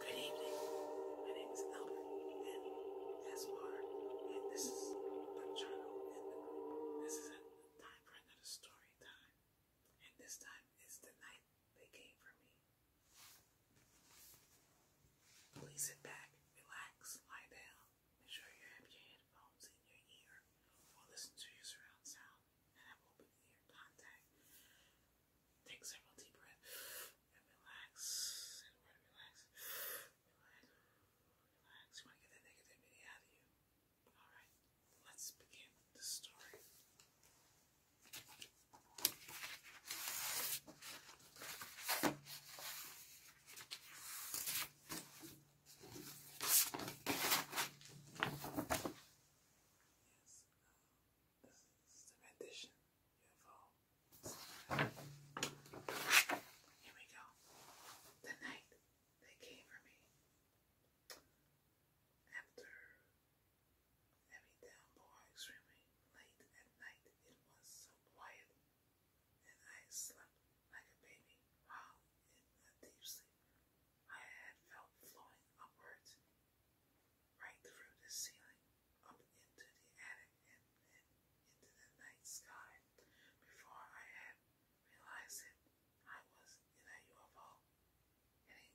Good evening. My name is Albert and this is Panchano and This is a time for another story time, and this time is the night they came for me. Please sit back, relax, lie down. Make sure you have your headphones in your ear or listen to your surround sound and have open ear Take several deep breaths and relax. And relax. Relax. Relax. You want to get that negativity out of you. Alright, let's begin the story. Yes. Um, this is the meditation. Here we go. The they came for me. After heavy downpour, extremely late at night, it was so quiet, and I slept like a baby while in a deep sleep. I had felt flowing upwards right through the ceiling, up into the attic, and into the night sky. Before I had realized it, I was in a UFO, heading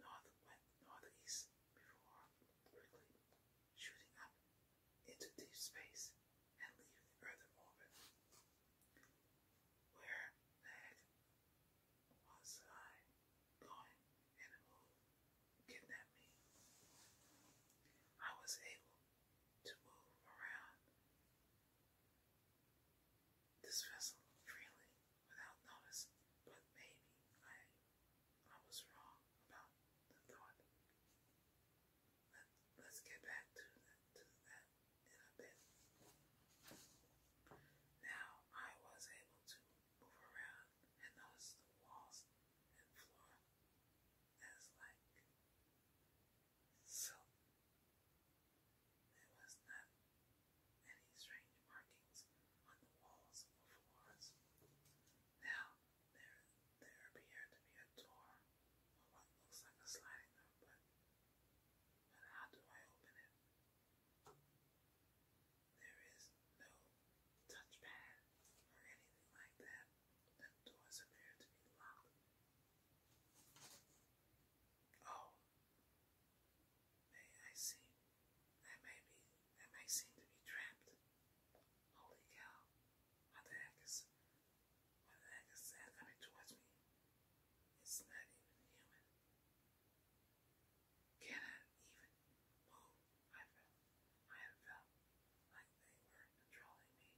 north west, northeast, before quickly shooting up into deep space and leaving the Earth in orbit. Where the was I going and who kidnapped me? I was able to move around this vessel freely without notice, but maybe I I was wrong about the thought. Let, let's get back to, to that in a bit. Now I was able to move around and notice the walls and floor as like silk. There was not any strange markings on the walls or floors. Now there there appeared to be a door or what looks like a sliding door, but but how do I open it? There is no touchpad or anything like that. The doors appear to be locked. Oh, may I seem, I may be, I may seem to be trapped. Holy cow! What the heck is, what the heck is that coming towards me? It's not even human. Cannot even move. I felt, I had felt they were controlling me.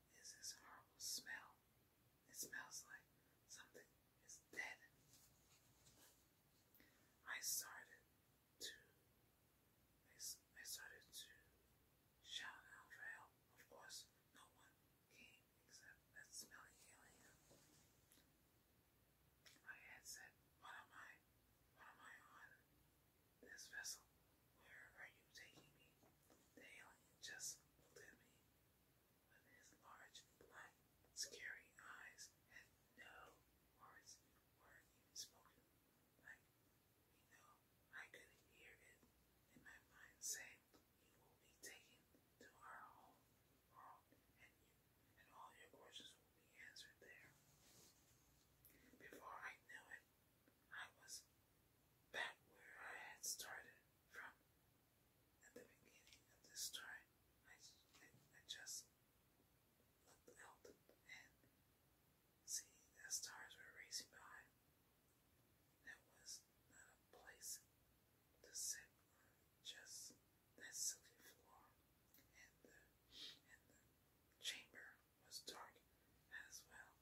What is this horrible smell? It smells like something is dead. I started to, I, I started to shout out for help. Of course, no one came except that smelly alien. My head said, What am I? What am I on? This vessel. Where are you taking me? The alien just looked at me with his large, black, scary eyes, and no words were spoken. Like, you know, I could hear it in my mind saying, You will be taken to our home and, you, and all your questions will be answered there. Before I knew it, I was back where I had started from at the beginning of this story. I, just looked out and see that stars were racing by. That was not a place to sit on just that silky floor, and the and the chamber was dark as well.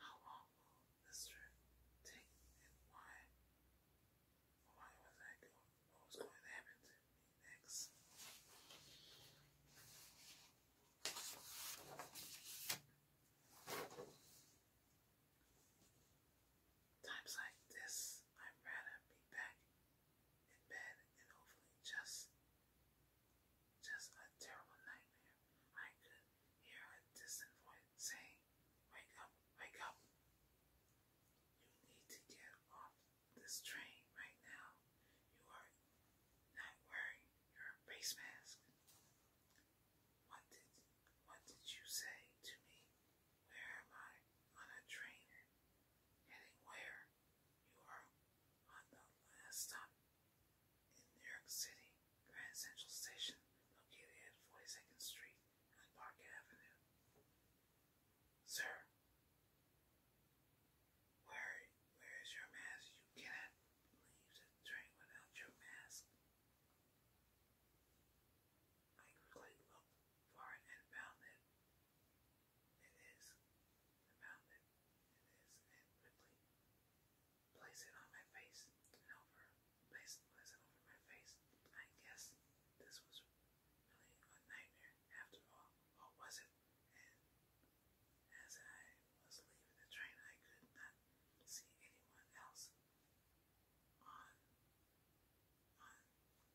How long will this trip take, and why? Why was I go? What was going to happen next? Times like this, I'd rather be back in bed and hopefully just just a terrible nightmare. I could hear a distant voice saying, Wake up, wake up. You need to get off this train right now. You are not wearing your face mask. What did what did you say to me? Where am I on a train? Heading where? You are on the last stop in New York City, Grand Central Station, located at 42nd Street and Park Avenue. Sir, where, where is your mask? You cannot leave the train without your mask. I quickly looked for it and found it. It is. found it. It is. And quickly place it on my face over. Place, place it over my face. I guess this was really a nightmare after all. Or was it? And as I was leaving the train, I could not see anyone else on on or nor there anyone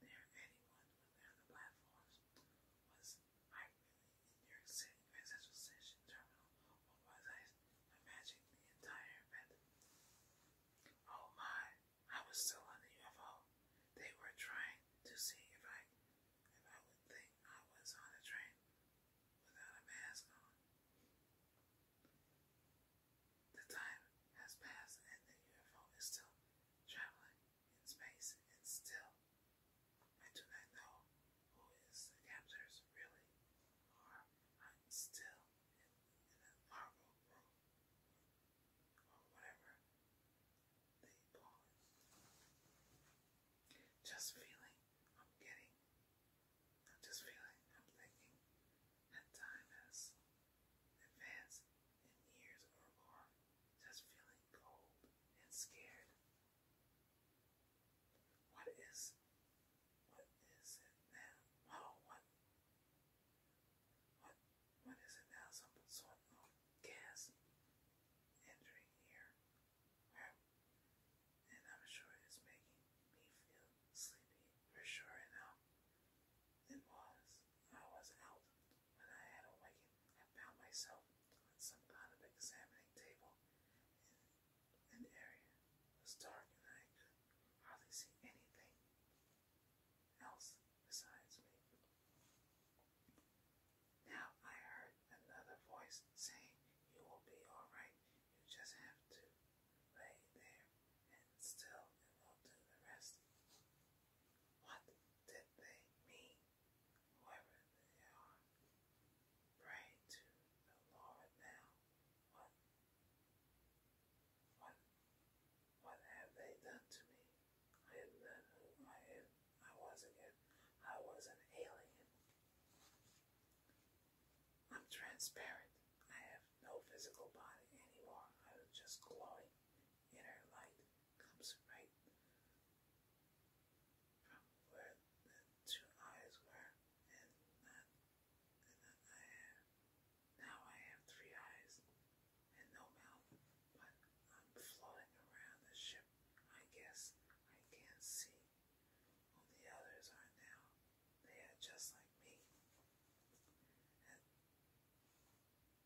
within the platforms was I really in New York station terminal or was I imagining the entire event? Oh my, I was still on the UFO. They were trying to see if I if I would think I was on the train without a mask on. The time has passed and the UFO is still traveling in space and still. I do not know who is the captors really or i still in a marble room or whatever they call it. Just feeling I'm getting I'm just feeling, I'm thinking that time has advanced in years or more, just feeling cold and scared. What is, what is it now? Oh, what, what, what is it now? Some sort of gas entering here and I'm sure it's making me feel sleepy for sure enough. It was. I was out. When I had awakened, I found myself on some kind of examining table in an area. It was dark and I hardly see anything else besides me. Now I heard another voice saying, You will be all right. You just have to Lay there and still it will the rest. What did they mean? Whoever they are, pray to the Lord now. What, what, what have they done to me? I am not who I am. I was again. I was an alien. I'm transparent. I have no physical body anymore. I was just glowing. Inner light comes right from where the two eyes were, and not, and not I have. Now I have three eyes and no mouth, but I'm floating around the ship. I guess I can't see. Only others are now. They are just like me.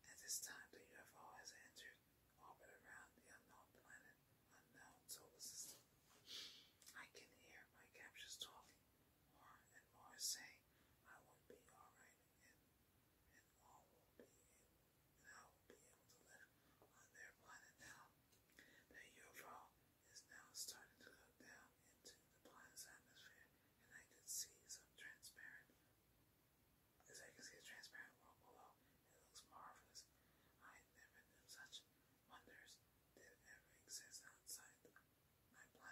At, this time, the UFO has entered orbit around the unknown planet, unknown solar system. I can hear my captures talking, more and more saying, I will be alright, and, and all will be and I will be able to live on their planet now. The UFO is now starting to look down into the planet's atmosphere, and I can see some transparent. As I can see a transparent world below, it looks marvelous. I never knew such wonders did ever exist outside my planet I, I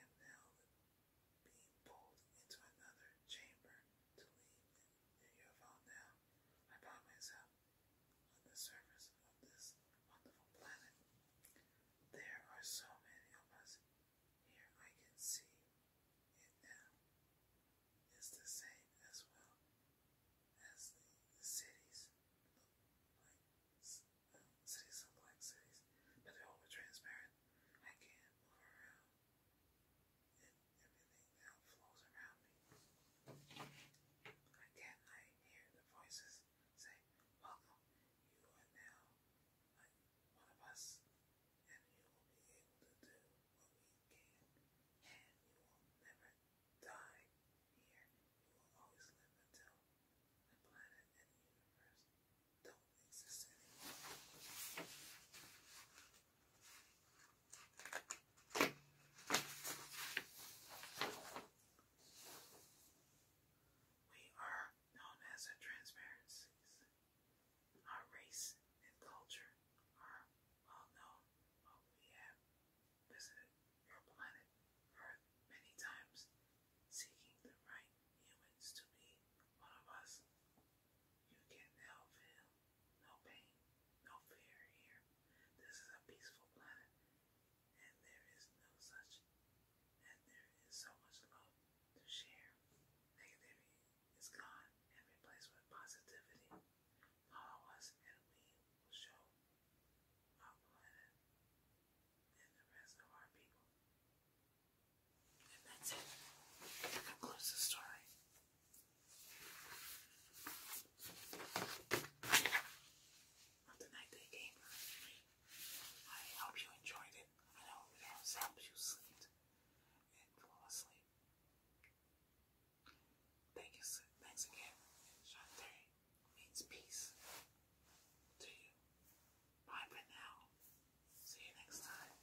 am now being pulled into another chamber to leave the UFO now. I found myself uh, on the surface of this wonderful planet. There are so many of us here. I can see it now. It's the same as well as the, cities like cities look like cities, but they're all transparent. I can move around everything now flows around me. Again, I hear the voices say, Welcome, you are now like one of us, and you will be able to do what we can, and you will never die here. You will always live until the planet and the universe don't exist anymore. We are known as our transparencies. Our race and culture are well known, but we have visited your planet Earth many times, seeking the right humans to be one of us. You can now feel no pain, no fear here. This is a peaceful planet, and there is no such, and there is so much love to share. Negativity is gone and replaced with positivity. Follow us, and we will show our planet and the rest of our people. And that's it. That concludes story of the night they I hope you enjoyed it. I hope it has you sleep and fall asleep. Thank you, thanks again. Shanti means peace to you. Bye for now. See you next time.